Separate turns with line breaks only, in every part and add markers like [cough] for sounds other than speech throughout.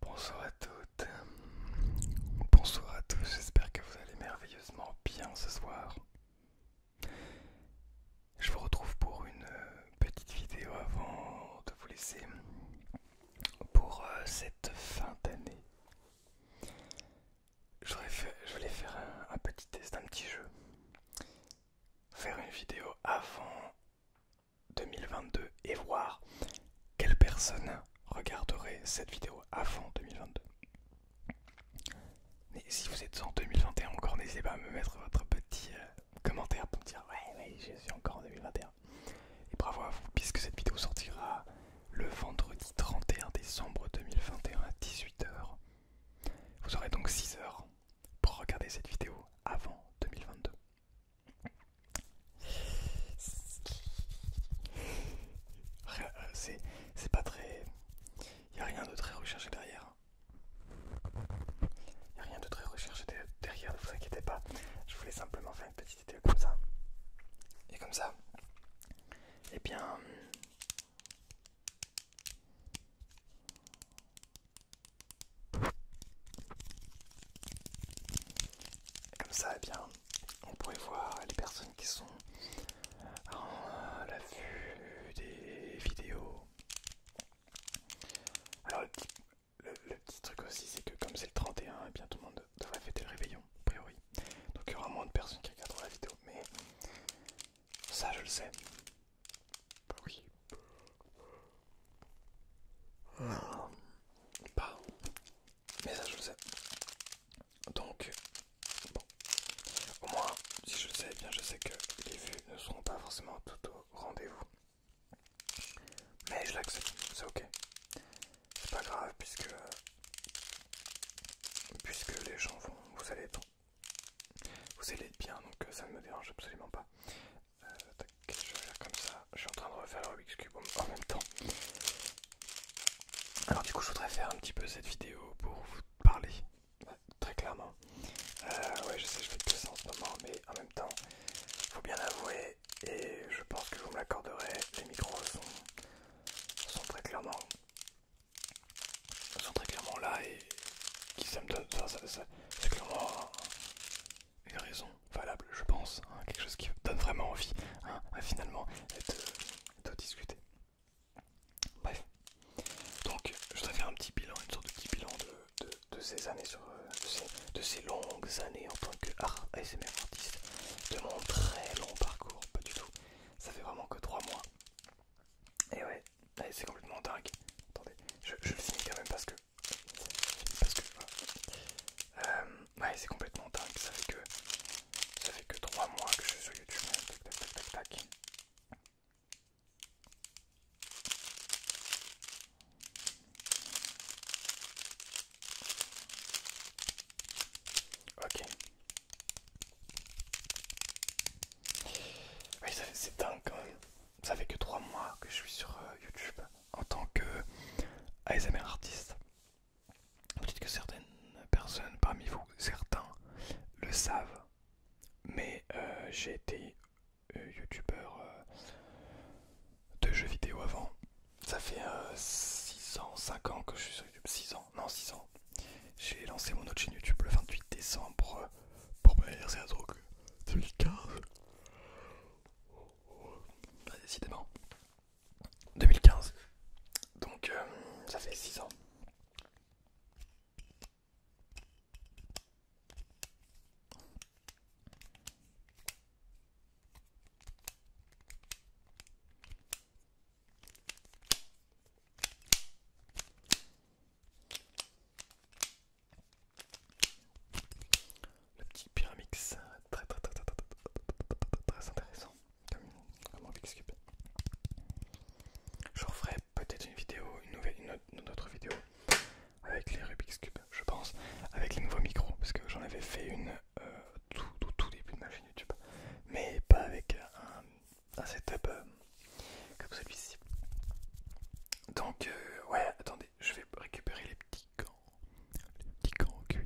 Bonsoir à toutes, bonsoir à tous, j'espère que vous allez merveilleusement bien ce soir. Je vous retrouve pour une euh, petite vidéo avant de vous laisser pour euh, cette fin d'année. Je voulais faire un, petit test, un petit jeu. Faire une vidéo avant 2022 et voir quelle personne regarderait cette vidéo avant 2022. mais si vous êtes en 2021 encore, n'hésitez pas à me mettre votre petit euh, commentaire pour me dire ouais ouais je suis encore en 2021. Et bravo à vous puisque cette vidéo sortira le vendredi 31 décembre 2021 à 18h. Vous aurez donc 6 heures pour regarder cette vidéo avant 2022. Euh, c'est pas très. Il n'y a rien de très recherché derrière. Il n'y a rien de très recherché derrière, ne vous inquiétez pas. Je voulais simplement faire une petite vidéo comme ça. Et comme ça. Eh bien. Comme ça, eh bien, on pourrait voir les personnes qui sont à la vue des vidéos. Alors, le petit, truc aussi, c'est que comme c'est le 31, et eh bien, tout le monde devrait fêter le réveillon, a priori. Donc, il y aura moins de personnes qui regarderont la vidéo, mais ça, je le sais. Bah oui. Bah, mais ça je le sais. Donc, bon. Au moins, si je le sais, eh bien je sais que les vues ne seront pas forcément tout au rendez-vous. Mais je l'accepte, c'est ok. C'est pas grave puisque puisque les gens vont, vous allez être, vous allez bien, donc euh, ça ne me dérange absolument pas je vais faire comme ça. Je suis en train de refaire le Rubik's Cube en même temps. Alors du coup, je voudrais faire un petit peu cette vidéo pour vous parler, très clairement. Euh, ouais, je sais, je fais que ça en ce moment, mais en même temps, il faut bien avouer, et je pense que vous me l'accorderez, les micros sont, très clairement, là et qui ça me donne, clairement une raison valable, je pense, hein, quelque chose qui donne vraiment envie, hein, finalement, euh, de, discuter. Bref, donc je voudrais faire un petit bilan, une sorte de petit bilan de, ces années, euh, de ces, longues années en tant que ASMR artiste, de mon très long parcours, pas du tout, ça fait vraiment que trois mois. Et ouais, c'est complètement dingue. Attendez, je, je le finis quand même parce que parce que euh, ouais, c'est complètement dingue. Ça fait que ça fait que 3 mois que je suis sur YouTube. Tac, tac, tac, Ok. c'est dingue quand même ça fait que 3 mois que je suis sur euh, YouTube en tant que euh, ASMR artiste. Peut-être que certaines personnes parmi vous, certains, le savent, mais euh, j'ai été youtubeur de jeux vidéo avant. Ça fait 6 ans, cinq ans que je suis sur YouTube, 6 ans, non 6 ans. J'ai lancé mon autre chaîne YouTube le 28 décembre pour me anniversaire 2015 décidément. 2015. Donc euh, ça fait 6 ans. Le petit Pyramix, très très très très intéressant comme, Rubik's Cube. Je referai peut-être une vidéo, une nouvelle, une, autre vidéo avec les Rubik's Cube, je pense, avec les nouveaux micros, parce que j'en avais fait une tout, tout, début de ma chaîne YouTube, mais pas avec un, setup comme celui-ci. Donc, ouais, attendez je vais récupérer les petits gants. Les petits gants en cuir.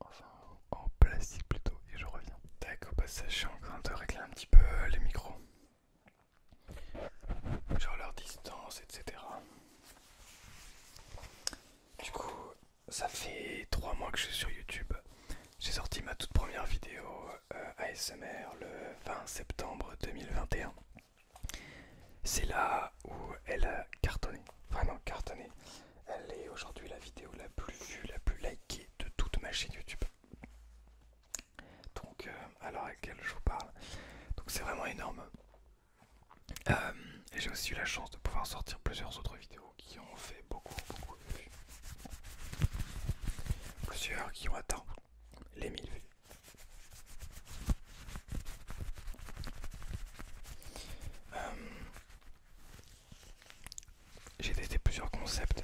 Enfin, en plastique plutôt, et je reviens. D'accord. au passage, je suis en train de régler un petit peu les micros. Genre leur distance, etc. Du coup, ça fait trois mois que je suis sur YouTube. J'ai sorti ma toute première vidéo euh, ASMR le 20 septembre 2021. C'est là où elle a cartonné, vraiment cartonné. Elle est aujourd'hui la vidéo la plus vue, la plus likée de toute ma chaîne YouTube. Donc, euh, à l'heure à laquelle je vous parle, donc c'est vraiment énorme. Euh, et j'ai aussi eu la chance de pouvoir sortir plusieurs autres vidéos qui ont fait beaucoup, beaucoup de vues. Plusieurs qui ont atteint les 1000 vues. Euh, j'ai testé plusieurs concepts,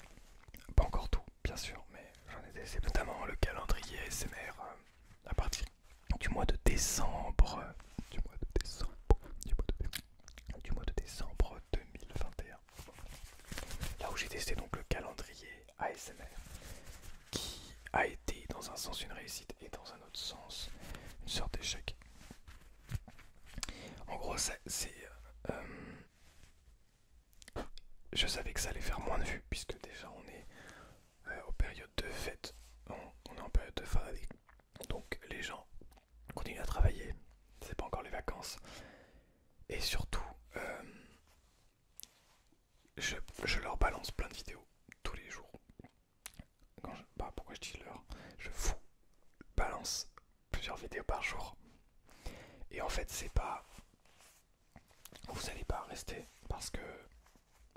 pas encore tout bien sûr, mais j'en ai testé notamment le calendrier SMR euh, à partir euh, du mois de décembre, du mois de décembre, du mois de décembre 2021. Là où j'ai testé donc le calendrier ASMR qui a été dans un sens une réussite et dans un autre sens une sorte d'échec. En gros, c'est. Euh, je savais que ça allait faire moins de vues puisque déjà on est en euh, période de fête, on, est en période de fin d'année. Donc les gens continuent à travailler, c'est pas encore les vacances. Et surtout, euh, je, leur balance plein de vidéos tous les jours. je, bah, pourquoi je dis leur Je vous balance plusieurs vidéos par jour. Et en fait, c'est pas. Vous n'allez pas rester parce que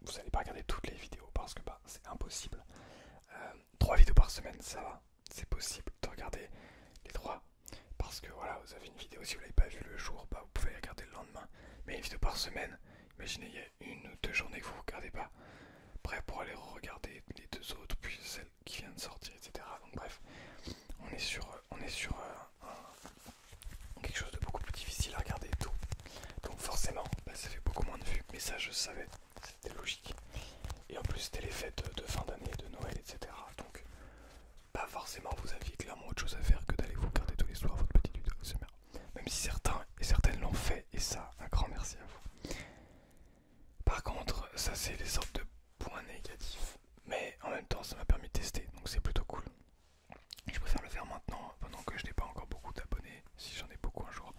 vous n'allez pas regarder toutes les vidéos parce que bah, c'est impossible. Euh, trois vidéos par semaine, ça va. C'est possible de regarder les trois parce que voilà, vous avez une vidéo. Si vous l'avez pas vue le jour, bah, vous pouvez la regarder le lendemain. Mais une vidéo par semaine, Imaginez, il y a une ou deux journées que vous ne regardez pas. prêt pour aller regarder les deux autres, puis celle qui vient de sortir, etc. Donc bref, on est sur, on est sur euh, quelque chose de beaucoup plus difficile à regarder tout. Donc forcément, bah, ça fait beaucoup moins de vues, mais ça je savais, c'était logique. Et en plus, c'était les fêtes de fin d'année, de Noël, etc. Donc, pas forcément, vous aviez clairement autre chose à faire que d'aller vous regarder tous les soirs votre petite vidéo, c'est même si certains et certaines l'ont fait, et ça, un grand merci à vous. Par contre, ça c'est les sortes de points négatifs, mais en même temps ça m'a permis de tester, donc c'est plutôt cool. Je préfère le faire maintenant, pendant que je n'ai pas encore beaucoup d'abonnés, si j'en ai beaucoup un jour.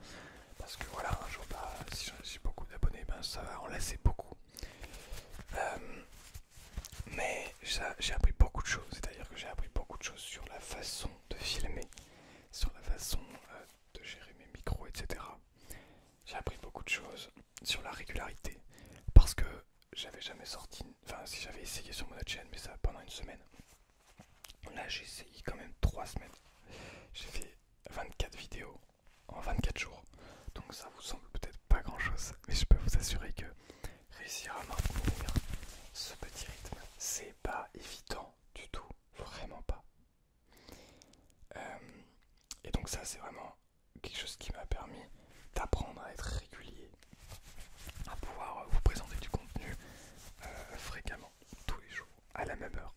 Parce que voilà, un jour, bah, si j'en ai beaucoup d'abonnés, ben, ça va en laisser beaucoup. Euh, mais j'ai appris beaucoup de choses, c'est-à-dire que j'ai appris beaucoup de choses sur la façon de filmer, sur la façon euh, de gérer mes micros, etc. J'ai appris beaucoup de choses sur la régularité, parce que j'avais jamais sorti, enfin si j'avais essayé sur mon autre chaîne, mais ça pendant une semaine. Là j'ai essayé quand même 3 semaines. J'ai fait 24 vidéos en 24 jours. Donc ça vous semble peut-être pas grand chose, mais je peux vous assurer que réussir à maintenir ce petit rythme. C'est pas évident du tout, vraiment pas. Euh, et donc ça c'est vraiment quelque chose qui m'a permis d'apprendre à être régulier, à pouvoir vous présenter du contenu euh, fréquemment, tous les jours, à la même heure.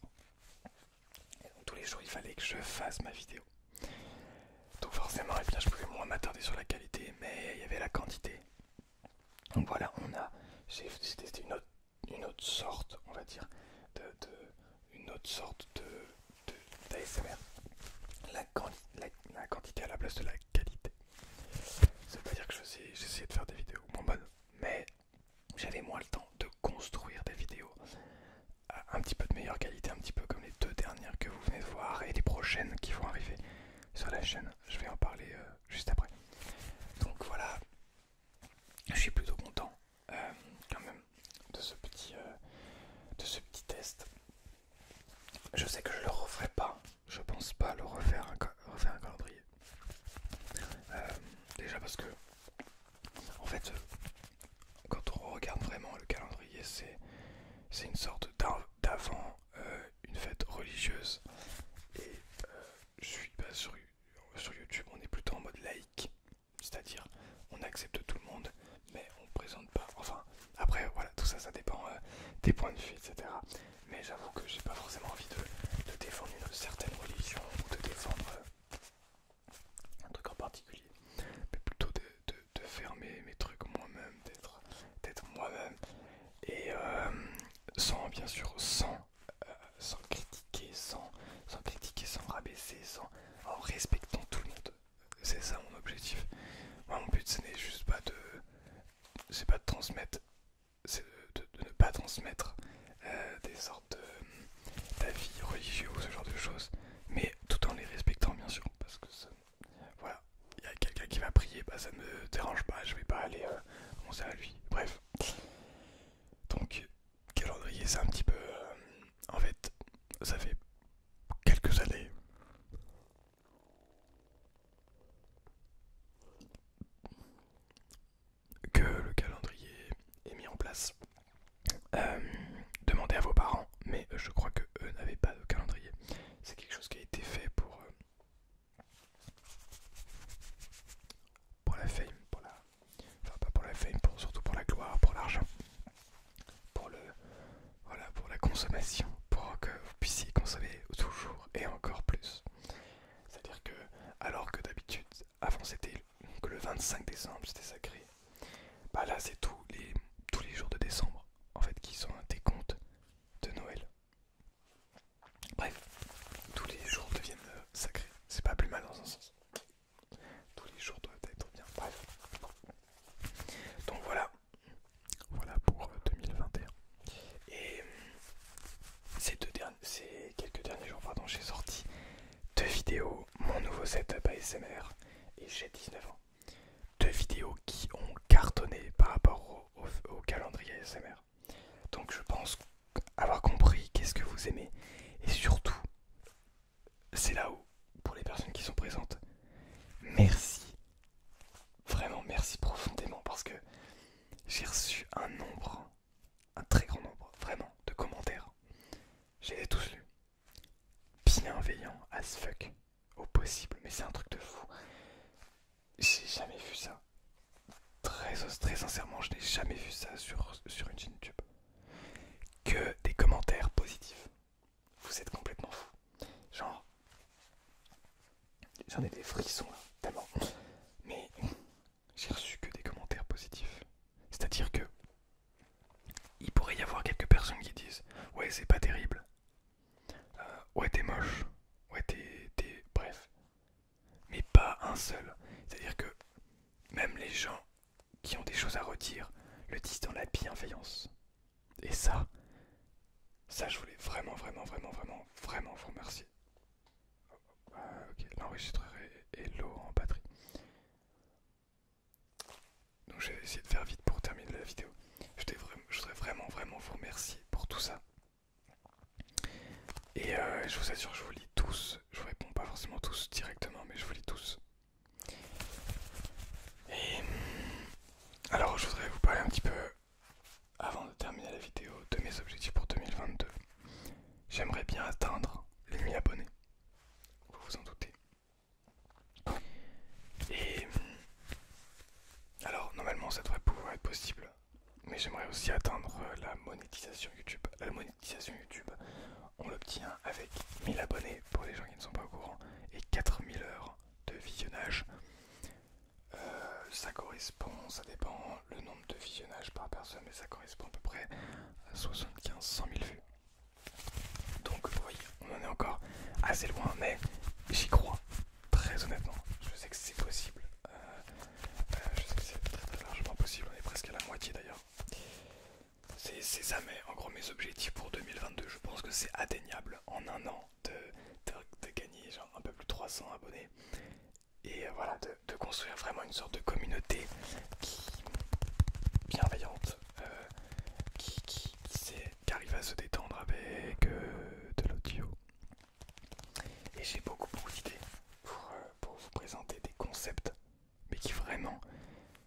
tous les jours il fallait que je fasse ma vidéo. Donc forcément, et eh bien, je pouvais moins m'attarder sur la qualité, mais il y avait la quantité donc voilà, on a, une autre, une autre sorte, on va dire, une autre sorte de d'ASMR. La, quantité à la place de la qualité. ça veut dire que j'essayais de faire des vidéos mais j'avais moins le temps de construire des vidéos un petit peu de meilleure qualité, un petit peu comme les deux dernières que vous venez de voir et les prochaines qui vont arriver sur la chaîne. Je vais en parler. Euh, juste après. Donc voilà, je suis plutôt content euh, quand même de ce petit euh, de ce petit test. Je sais que je le referai pas, je pense pas le refaire un, calendrier. Euh, déjà parce que en fait quand on regarde vraiment le calendrier c'est une sorte d'avant euh, une fête religieuse et euh, je suis pas sur, sur YouTube on est plutôt en mode laïque c'est-à-dire on accepte tout le monde mais on présente pas enfin après voilà tout ça ça dépend euh, des points de vue etc mais j'avoue que j'ai pas forcément envie de, défendre une certaine religion ou de défendre un truc en particulier mais plutôt de, de, mes, trucs moi-même d'être moi-même et sans bien sûr, sans, euh, sans critiquer, sans, sans critiquer, sans rabaisser, sans, en respectant tout le monde. C'est ça mon objectif. Moi, mon but, ce n'est juste pas de, c'est pas de transmettre, c'est de, ne pas transmettre euh, des sortes d'avis religieux ou ce genre de choses, mais tout en les respectant bien sûr, parce que voilà, il y a quelqu'un qui va prier, bah ça ne me dérange pas, je vais pas aller euh, on sait à lui. Bref. Donc, calendrier, c'est un petit peu. Euh, en fait, ça fait quelques années. Que le calendrier est mis en place. Euh, demandez à vos parents, mais je crois que eux n'avaient pas de calendrier. C'est quelque chose qui a été fait pour pour la fame, pour la... Enfin pas pour la fame, surtout pour la gloire, pour l'argent. Pour le... Voilà, pour la consommation. Pour que vous puissiez consommer toujours et encore plus. C'est-à-dire que, alors que d'habitude, avant c'était que le 25 décembre, c'était sacré. Bah là c'est tous les, tous les jours de décembre en fait qui sont un décompte de Noël. Bref, tous les jours deviennent euh, sacrés. C'est pas plus mal dans un sens. Tous les jours doivent être bien. Bref. Donc voilà. Voilà pour 2021. Euh, et euh, ces, deux ces quelques derniers jours, j'ai sorti deux vidéos, mon nouveau setup ASMR, et j'ai 19 ans. Deux vidéos qui ont cartonné par rapport au calendrier ASMR. Donc je pense avoir compris qu'est-ce que vous aimez. Et surtout, c'est là haut pour les personnes qui sont présentes, merci. Vraiment merci profondément parce que j'ai reçu un nombre, un très grand nombre, vraiment, de commentaires. J'ai les tous lu Bienveillant as fuck, au possible, mais c'est un truc de fou. J'ai jamais vu ça. Très, sincèrement, je n'ai jamais vu ça sur, une chaîne YouTube. Que des commentaires positifs. Vous êtes complètement fou. Genre, j'en ai des frissons là, tellement. Mais j'ai reçu que des commentaires positifs. C'est-à-dire que il pourrait y avoir quelques personnes qui disent Ouais, c'est pas terrible. Euh, ouais, t'es moche. Ouais, t'es. Bref, mais pas un seul. C'est-à-dire que même les gens qui ont des choses à redire le disent dans la bienveillance. Et ça, ça je voulais vraiment, vraiment, vraiment, vraiment, vraiment vous remercier. Ah, ok, l'enregistreur et, l'eau en batterie. Donc j'ai essayé de faire vite pour terminer la vidéo. Je, je voudrais vraiment, vraiment vous remercier pour tout ça. Et euh, je vous assure, je vous lis tous. Je vous réponds pas forcément tous directement, mais je vous lis tous. Et hmm, alors, je voudrais vous parler un petit peu, avant de terminer la vidéo, de mes objectifs pour 2022. J'aimerais bien atteindre les 1000 abonnés. Vous vous en doutez. Et hmm, alors, normalement, ça devrait pouvoir être possible mais j'aimerais aussi atteindre euh, la monétisation YouTube. La monétisation YouTube, on l'obtient avec 1000 abonnés pour les gens qui ne sont pas au courant et 4000 heures de visionnage. Euh, ça correspond, ça dépend le nombre de visionnages par personne, mais ça correspond à peu près à 75-100 000 vues. Donc, oui, voyez, on en est encore assez loin, mais j'y crois, très honnêtement. Je sais que c'est possible. Euh, euh, je sais que c'est très largement possible, on est presque à la moitié d'ailleurs. C'est ça, en gros mes objectifs pour 2022, je pense que c'est atteignable en un an de, gagner genre un peu plus de 300 abonnés et euh, voilà de, construire vraiment une sorte de communauté bienveillante, euh, qui, qui, arrive à se détendre avec de l'audio, et j'ai beaucoup, beaucoup d'idées euh, pour, vous présenter des concepts, mais qui vraiment,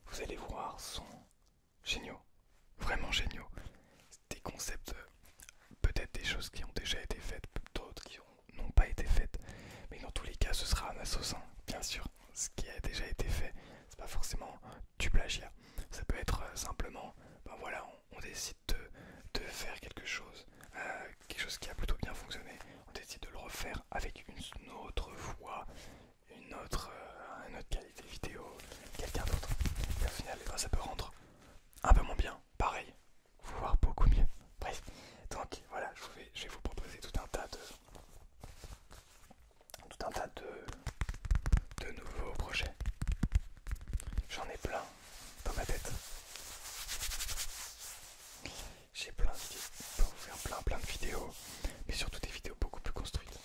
vous allez voir, sont géniaux. Vraiment géniaux. Des concepts, euh, peut-être des choses qui ont déjà été faites, d'autres qui n'ont pas été faites. Mais dans tous les cas, ce sera un assassin, bien sûr. Ce qui a déjà été fait, c'est pas forcément du plagiat. Ça peut être euh, simplement, ben voilà, on décide de, faire quelque chose, euh, quelque chose qui a plutôt bien fonctionné, on décide de le refaire avec une autre voix, une autre, euh, autre qualité vidéo, quelqu'un d'autre. Et au final, eh ben, ça peut rendre un peu moins bien, pareil, voire beaucoup mieux. Bref, donc voilà, je vais, je vais vous proposer tout un tas de tout un tas de, de nouveaux projets. J'en ai plein, dans ma tête. J'ai plein d'idées pour vous faire plein plein de vidéos, mais surtout des vidéos beaucoup plus construites.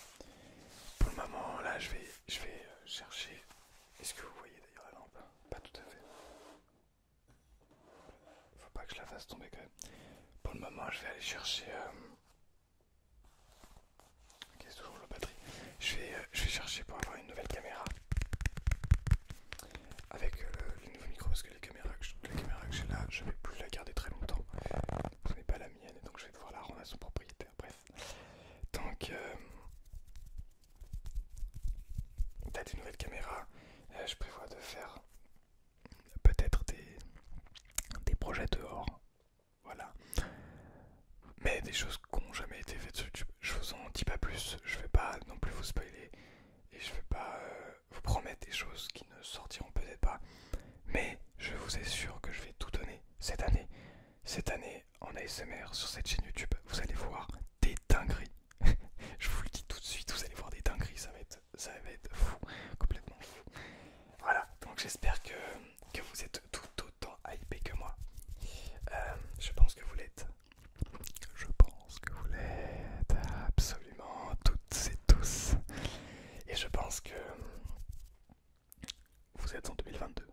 Pour le moment, là, je vais, je vais euh, chercher. Est-ce que vous voyez d'ailleurs la lampe Pas tout à fait. Faut pas que je la fasse tomber quand même. Pour le moment, je vais aller chercher. Euh, toujours la batterie. Je vais, euh, je vais chercher pour avoir une nouvelle caméra. Avec euh, le, nouveau micro, parce que les caméras la caméra que j'ai là, je ne vais plus la garder très longtemps. Ce n'est pas la mienne, donc je vais devoir la rendre à son propriétaire. Bref. Donc, tu euh, t'as des nouvelles caméras. Euh, je prévois de faire peut-être des, des projets dehors. Voilà. Mais des choses qu'on qui jamais été fait sur YouTube. Je vous en dis pas plus, je vais pas non plus vous spoiler et je vais pas euh, vous promettre des choses qui ne sortiront peut-être pas. Mais je vous assure que je vais tout donner cette année. Cette année en ASMR sur cette chaîne YouTube, vous allez voir des dingueries. [laughs] je vous le dis tout de suite, vous allez voir des dingueries, ça va être, ça va être fou, complètement fou. Voilà, donc j'espère que, vous êtes tout autant hypé que moi. Euh, je pense que vous l'êtes. Je pense que vous l'êtes absolument toutes et tous. Et je pense que vous êtes en 2022.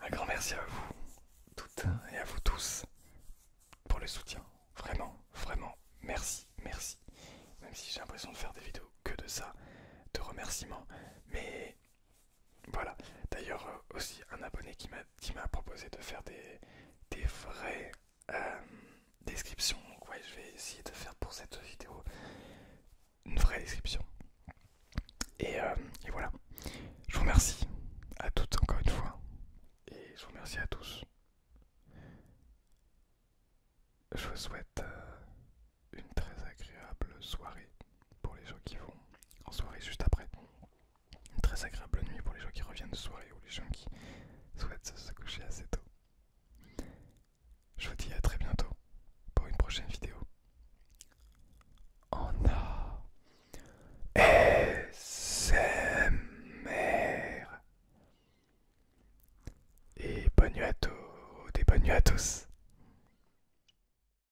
Un grand merci à vous toutes et à vous tous pour le soutien. Vraiment, vraiment, merci, merci. Même si j'ai l'impression de faire des vidéos que de ça, de remerciements. Mais voilà. D'ailleurs, euh, aussi un abonné qui m'a proposé de faire des, vraies euh, descriptions. Donc, ouais, je vais essayer de faire pour cette vidéo une vraie description. Euh, et voilà. Je vous remercie à toutes encore une fois. Et je vous remercie à tous. Je vous souhaite une très agréable soirée pour les gens qui vont en soirée juste après. Une très agréable nuit pour les gens qui reviennent de soirée ou les gens qui souhaitent se coucher assez tôt. Je vous dis à très bientôt pour une prochaine vidéo. En a Et bonne nuit à tous, et bonne nuit à tous.